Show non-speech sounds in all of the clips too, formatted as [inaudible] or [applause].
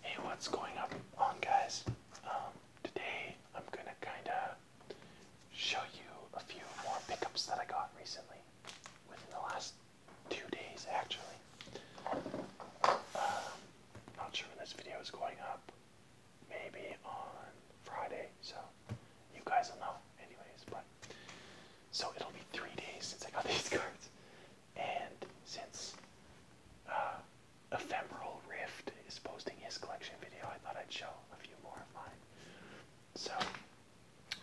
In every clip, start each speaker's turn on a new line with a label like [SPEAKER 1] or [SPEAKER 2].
[SPEAKER 1] Hey, what's going up on guys? Um, today I'm gonna kinda show you a few more pickups that I got recently, within the last two days actually. Um, not sure when this video is going up, maybe on Friday, so you guys will know anyways, but so it'll be three days since I got [laughs] these cards. And since uh, Ephemeral Rift is posting his collection video, I thought I'd show a few more of mine. So,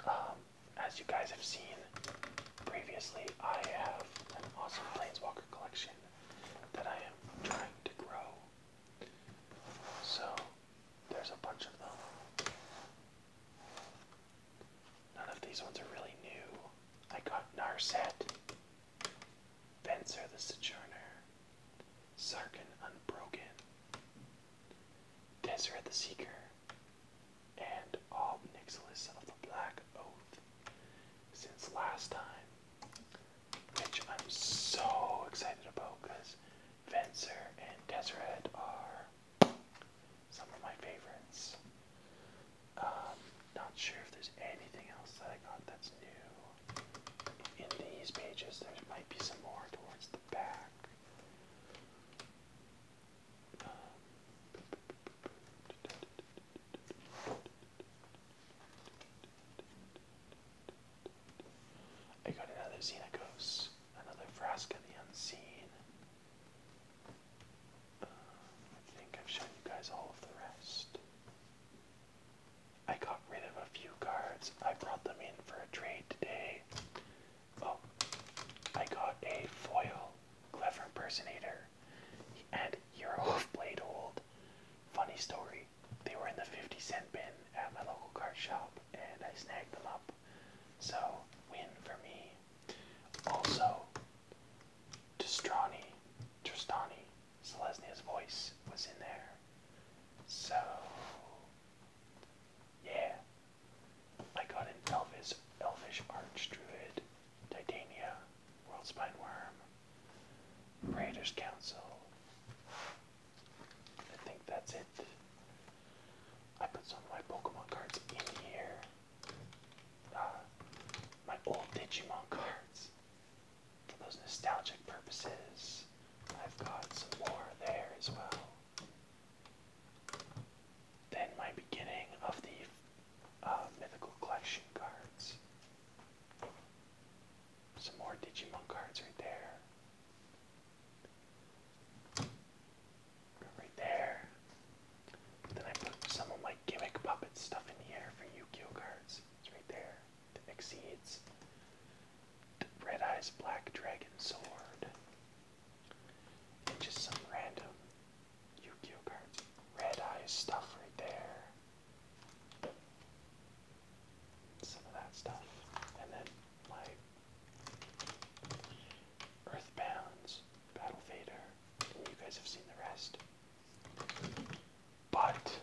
[SPEAKER 1] um, as you guys have seen previously, I have an awesome Walker collection that I am trying to grow. So, there's a bunch of them. None of these ones are really new. I got Narset, Benzer the Sojourner, Sarkin Unbroken, Deseret the Seeker, and all Nixilis of the Black Oath since last time, which I'm so excited about because Venser and Deseret are some of my favorites. Um, not sure if there's anything else that I got that's new. In these pages, there might be some more towards the back. I got another Xenagos, another Frasca the Unseen, I think I've shown you guys all of the rest. I got rid of a few cards. I brought them in for a trade today. Oh, I got a foil Clever Impersonator and Hero [laughs] of Blade Hold. Funny story, they were in the 50 cent bin at my local card shop and I snagged them up. So, win for me. Also, Tristani, Tristani, Selesnia's voice was in there. So, yeah. I got an Elvis, Elvish Archdruid, Titania, World Spine Worm, Raiders Council. I think that's it. I put some of my Pokemon cards in here. Uh, my old Digimon cards for those nostalgic purposes. I've got some more there as well. Then my beginning of the uh, mythical collection cards. Some more Digimon cards right there right there. Then I put some of my gimmick puppet stuff in here for yu gi cards. It's right there. The seeds. The Red Eyes Black Dragon Sword. And just some random yu gi cards. Red Eyes stuff right there. Some of that stuff. And then my Earthbounds Battle Vader, you guys have seen the rest. But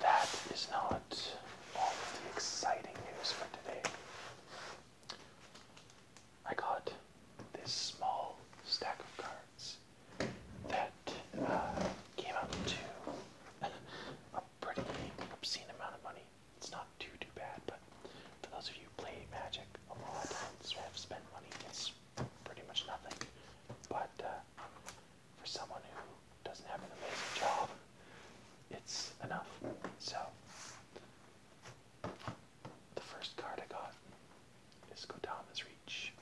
[SPEAKER 1] that is not all of the exciting news for today. I got this small stack of cards that uh, came out to [laughs] a pretty obscene amount of money it's not too too bad, but for those of you who play Magic a lot and have spent money, it's pretty much nothing. But uh, for someone who doesn't have an amazing job, it's enough. So the first card I got is Kodama's Reach.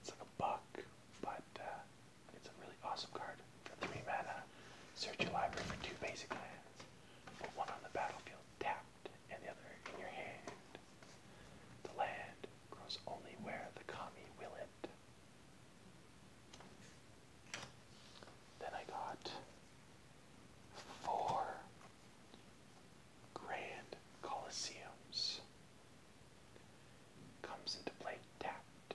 [SPEAKER 1] It's like a buck, but uh, it's a really awesome card for three mana. Search your library for two basic lands. Put one on the battlefield tapped and the other in your hand. The land grows only where the kami will it. Then I got four grand colosseums. Comes into play tapped.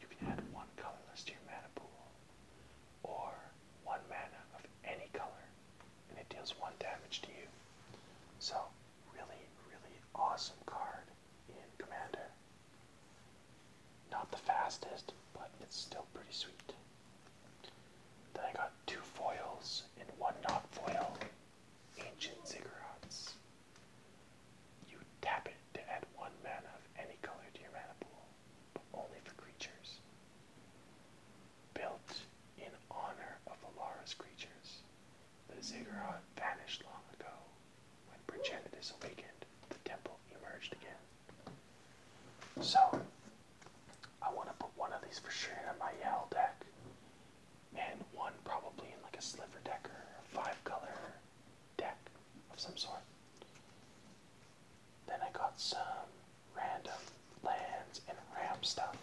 [SPEAKER 1] You can add one colorless to your mana pool, or one mana of any color, and it deals one damage to you. So, really, really awesome card in Commander. Not the fastest, but it's still pretty sweet. Then I got two foils and one not foil Ancient Ziggurats. You tap it to add one mana of any color to your mana pool but only for creatures. Built in honor of Alara's creatures, the ziggurat vanished long ago. When Progenitus awakened, the temple emerged again. So, I want to put one of these for sure in my Yell deck, and one probably in like a Sliver deck or a five color deck of some sort. Then I got some random lands and ramp stuff.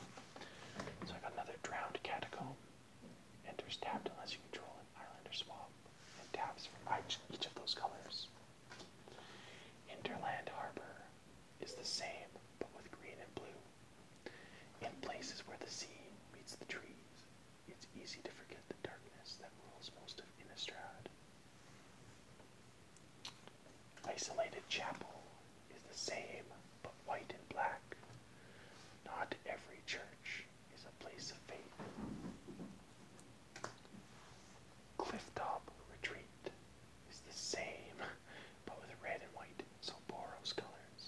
[SPEAKER 1] So I got another drowned catacomb. Enters tapped unless you control an island or swamp, and taps for each of those colors. Interland Harbor is the same, but with green and blue. In places where the sea meets the trees, it's easy to forget the darkness that rules most of Innistrad. Isolated chapel is the same but white and black. Not every church is a place of faith. Clifftop retreat is the same but with red and white, so Boros colors.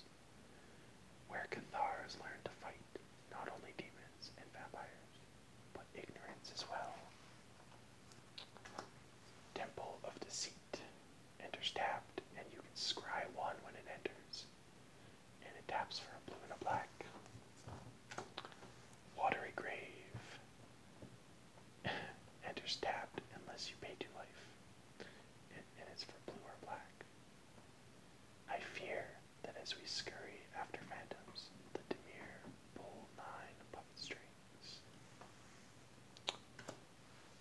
[SPEAKER 1] Where Cathars learn to fight not only demons and vampires, but ignorance as well. Temple of Deceit enters tapped, and you can scry one when it enters, and it taps for blue and a black. Watery Grave enters [laughs] tapped unless you pay two life, and it's for blue or black. I fear that as we scurry after phantoms, the demure pull nine puppet strings.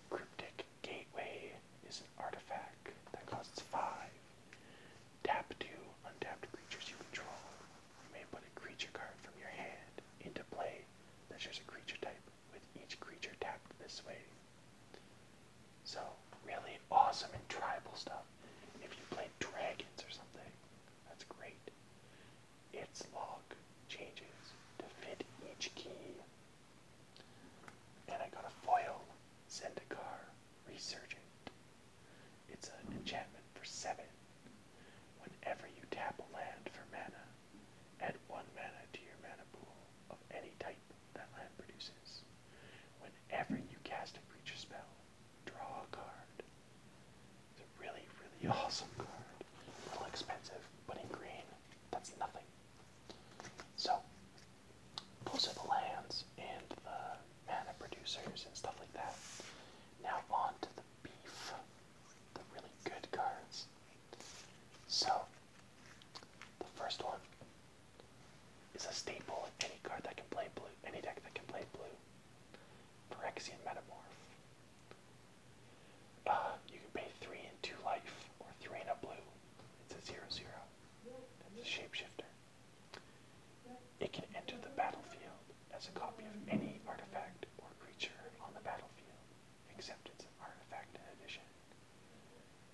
[SPEAKER 1] Cryptic Gateway is an artifact that costs five. Tap two untapped creatures you control. You may put a creature card from your hand into play that shares a creature type with each creature tapped this way. So, really awesome and tribal stuff. If you play dragons or something, that's great. Its log changes to fit each key. And I got a foil, Zendikar, Resurgent. It's an enchantment for seven. Whenever you tap a land for mana, add one mana to your mana pool of any type that land produces. Whenever you cast a creature spell, Draw a card. It's a really, really awesome card. A little expensive, but in green, that's nothing. So, those are the lands and the mana producers and stuff like that. Now on to the beef, the really good cards. So, the first one is a staple in any card that can play blue, any deck that can play blue. Phyrexian Metamorph. Uh, you can pay three and two life, or three and a blue. It's a zero zero. It's a shapeshifter. It can enter the battlefield as a copy of any artifact or creature on the battlefield, except it's an artifact in addition.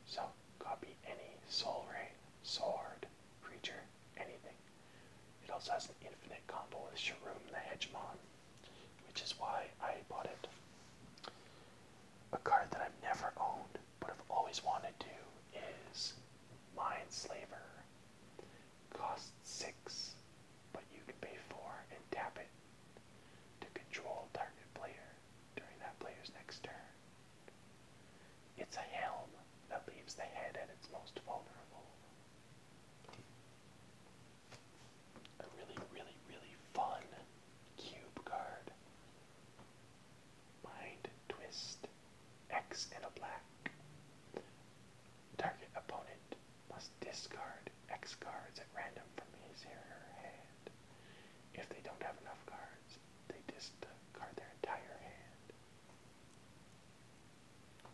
[SPEAKER 1] So, copy any Soul Ray, sword, creature, anything. It also has an infinite combo with Shroom the Hedgemon, which is why I bought it. A card that I've never owned but have always wanted to is Mind Slaver. Costs six, but you can pay four and tap it to control target player during that player's next turn. It's a helm that leaves the head at its most vulnerable. A really, really, really fun cube card. Mind twist. X and a black. Target opponent must discard X cards at random from his or her hand. If they don't have enough cards, they discard their entire hand.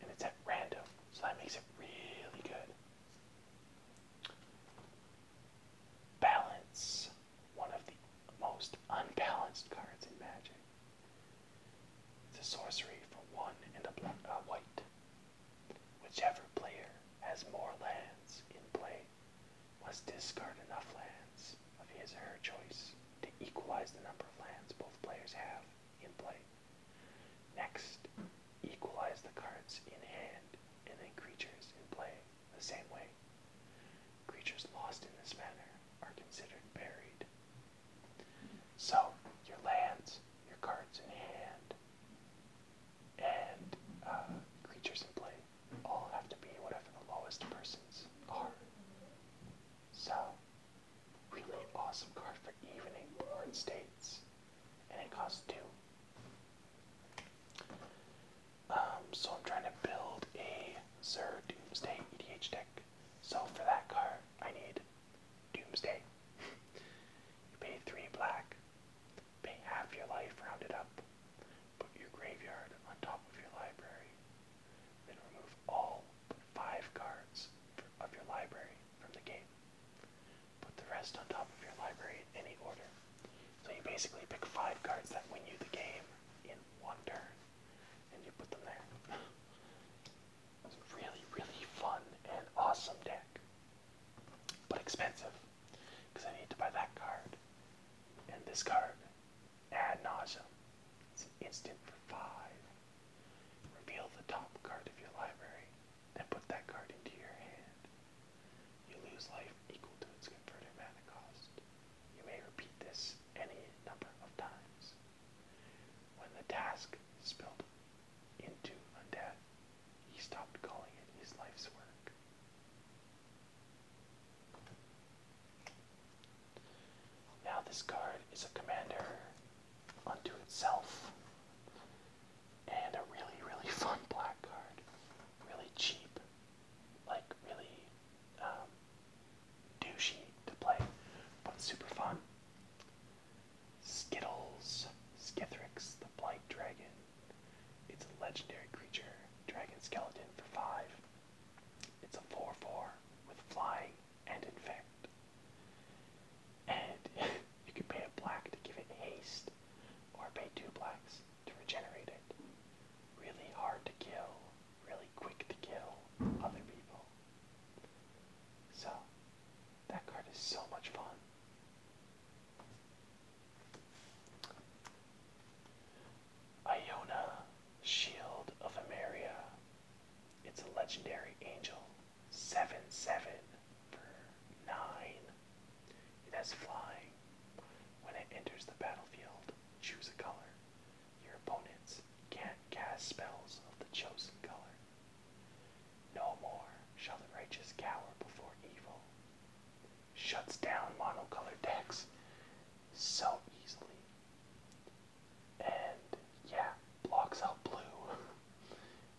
[SPEAKER 1] And it's at random, so that makes it really good. Balance, one of the most unbalanced cards in Magic. It's a sorcery for one in a black, or uh, white. Whichever player has more lands in play must discard enough lands of his or her choice to equalize the number of lands both players have in play. Next, equalize the cards in hand and then creatures in play the same way. Creatures lost in this manner are considered buried. So, your lands, your cards in hand, and uh, creatures in play all have to be whatever the lowest persons are. So, really awesome card for evening board states. And it costs two. Um, so I'm trying to build a Zer Doomsday EDH deck. So for that card, I need Doomsday. [laughs] you pay three black, pay half your life rounded up, Put your graveyard on top of your library. Then remove all but five cards of your library from the game. Put the rest on top of your library in any order. So you basically pick five cards that win you the game in one turn, and you put them there. [laughs] It's a really, really fun and awesome deck, but expensive because I need to buy that card and this card ad nausea. It's an instant for five. Reveal the top card of your library, then put that card into your hand. You lose life equal to its converted mana cost. You may repeat this any number of times. When the task spilled into undead, he stopped calling it his life's work. Now, this card is a commander unto itself and a really, really [laughs] fun black card. Really cheap, like really um, douchey to play, but super fun. Skittles, Skithrix, the Blight Dragon. It's a legendary creature, Dragon Skeleton for 5. It's a 4 4 with flying and infect. And [laughs] you can pay a black to give it haste, or pay two blacks to regenerate it. Really hard to kill, really quick to kill other people. So, that card is so much fun. Iona, Shield of Emeria. It's a legendary angel. 7 7 9. It has flying. When it enters the battlefield, choose a color. Your opponents can't cast spells of the chosen color. No more shall the righteous cower before evil shuts down monocolor decks so easily. And yeah, blocks out blue, [laughs]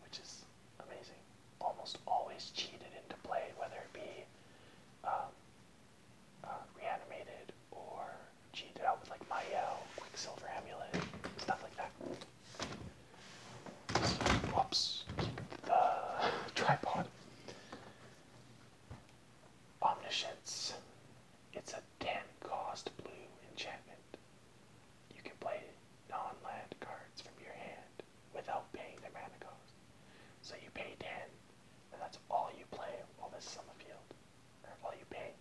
[SPEAKER 1] which is amazing. Almost always cheated into play, whether it be um, uh, reanimated or cheated out with like Mayel, Quicksilver Amulet, stuff like that. So, the [laughs] tripod. Omniscience. It's a 10 cost blue enchantment. You can play non land cards from your hand without paying their mana cost. So you pay 10, and that's all you play while this is on the field, or all you pay.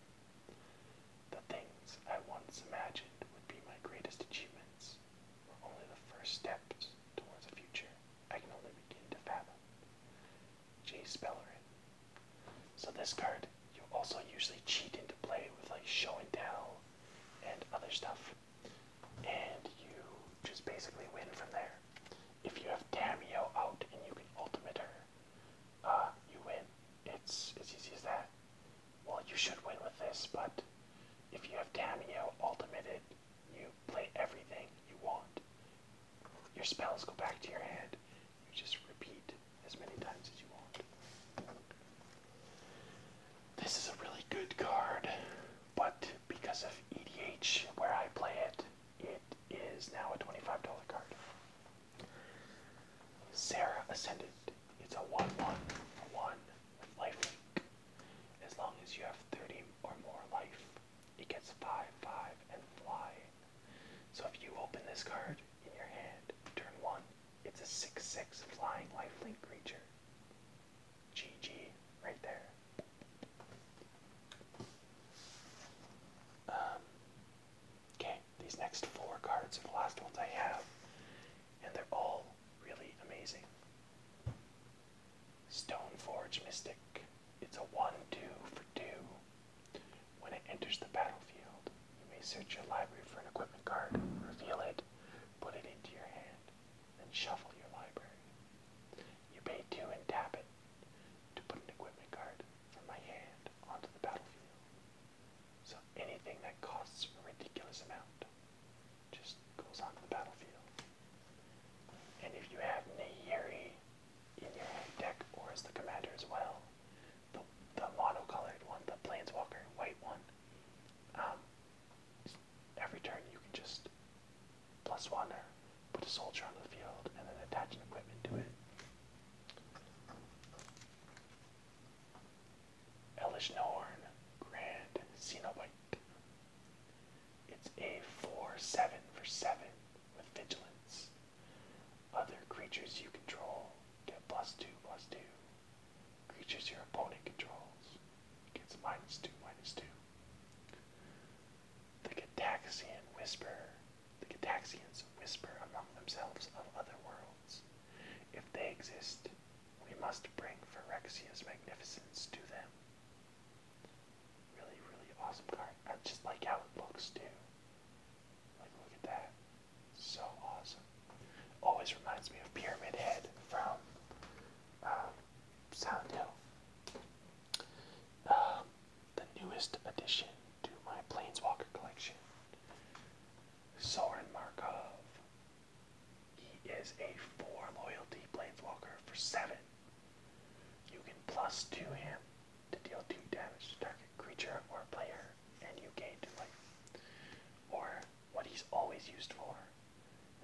[SPEAKER 1] The things I once imagined would be my greatest achievements were only the first steps towards a future I can only begin to fathom. J. Spellerin. So this card you also usually cheat into play with like show and tell and other stuff. And you just basically win from there. If you have Tamio out and you can ultimate her, uh, you win. It's as easy as that. Well, you should win with this, but if you have Tamio ultimated you play everything you want. Your spells go back to your hand. You just repeat as many times as you want. This is a really good card, but because of EDH, where I play it, it is now a $25 card. Sarah Ascendant. It's a 1 1 1 with life As long as you have 30 or more life, it gets 5, 5, and flying. So if you open this card in your hand, turn 1, it's a 6, 6 flying lifelink creature. GG, right there. Um, okay, these next four cards are the last ones I have, and they're all really amazing. Stoneforge Mystic. It's a 1 2 for 2. When it enters the battlefield, you may search your library for an equipment card, reveal it, put it into your hand, then shuffle your library. You pay 2 and tap it to put an equipment card from my hand onto the battlefield. So anything that costs a ridiculous amount just goes onto the battlefield. And if you have Neyiri in your hand deck or as the commander as well, the, the monocolored one, the planeswalker, white one, um, every turn you can just plus one or put a soldier on the field and then attach an equipment to it. Elish Norn, Grand Cenobite. It's a 4 7 for 7 with vigilance. Other creatures you control get plus 2 plus 2. Creatures your opponent controls gets minus 2 minus 2. The Gataxian Whisper. The Gataxians whisper among themselves of other worlds. If they exist, we must bring Ferrexia's magnificence to them. Really, really awesome card. I just like how it looks too. Like, look at that. So awesome. Always reminds me of Pyramid Head from um, Hill. Um, the newest addition to my Planeswalker collection Soren Markov. He is a 4 loyalty planeswalker for 7. You can plus 2 him to deal 2 damage to target creature or player, and you gain 2 life. Or, what he's always used for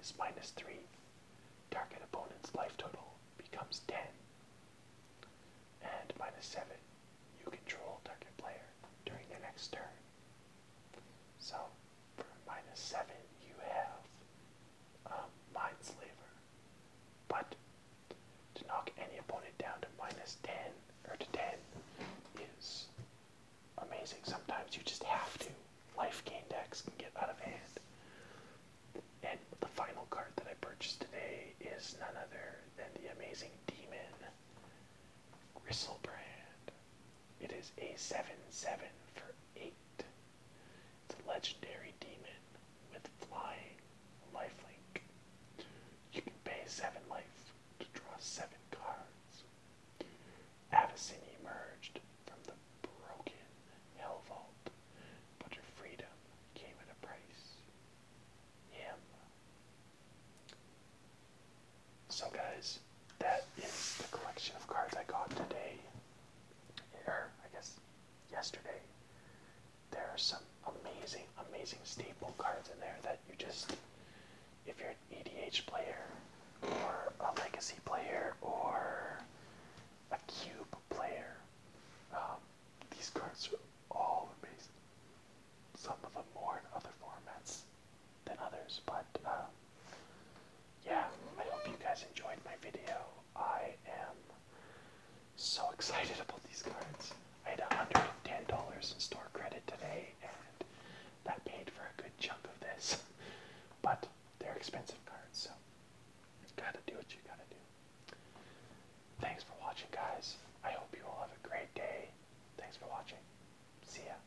[SPEAKER 1] is minus 3. Target opponent's life total becomes 10. And minus 7, you control target player during the next turn. So, for minus 7, you have um, Mindslaver. But to knock any opponent down to minus 10, or to 10, is amazing. Sometimes you just have to. Life gain decks can get out of hand. And the final card that I purchased today is none other than the amazing demon, Gristlebrand. It is a 7 7 for 8. It's a legendary demon with flying lifelink. You can pay 7 life to draw 7 cards. Avacyn emerged from the broken Hell Vault, but her freedom came at a price. Him. So guys, that is the collection of cards I got today. Or I guess yesterday. There are some amazing, amazing staple cards in there that you just if you're an EDH player or a legacy player or a cube player. Um, these cards are all amazing. Some of them more in other formats than others. But uh, yeah, I hope you guys enjoyed my video. I am so [laughs] excited about these cards. I had $110 in store credit today, and that paid for a good chunk of this. [laughs] But they're expensive cards, so gotta do what you gotta do. Thanks for watching, guys. I hope you all have a great day. Thanks for watching. See ya.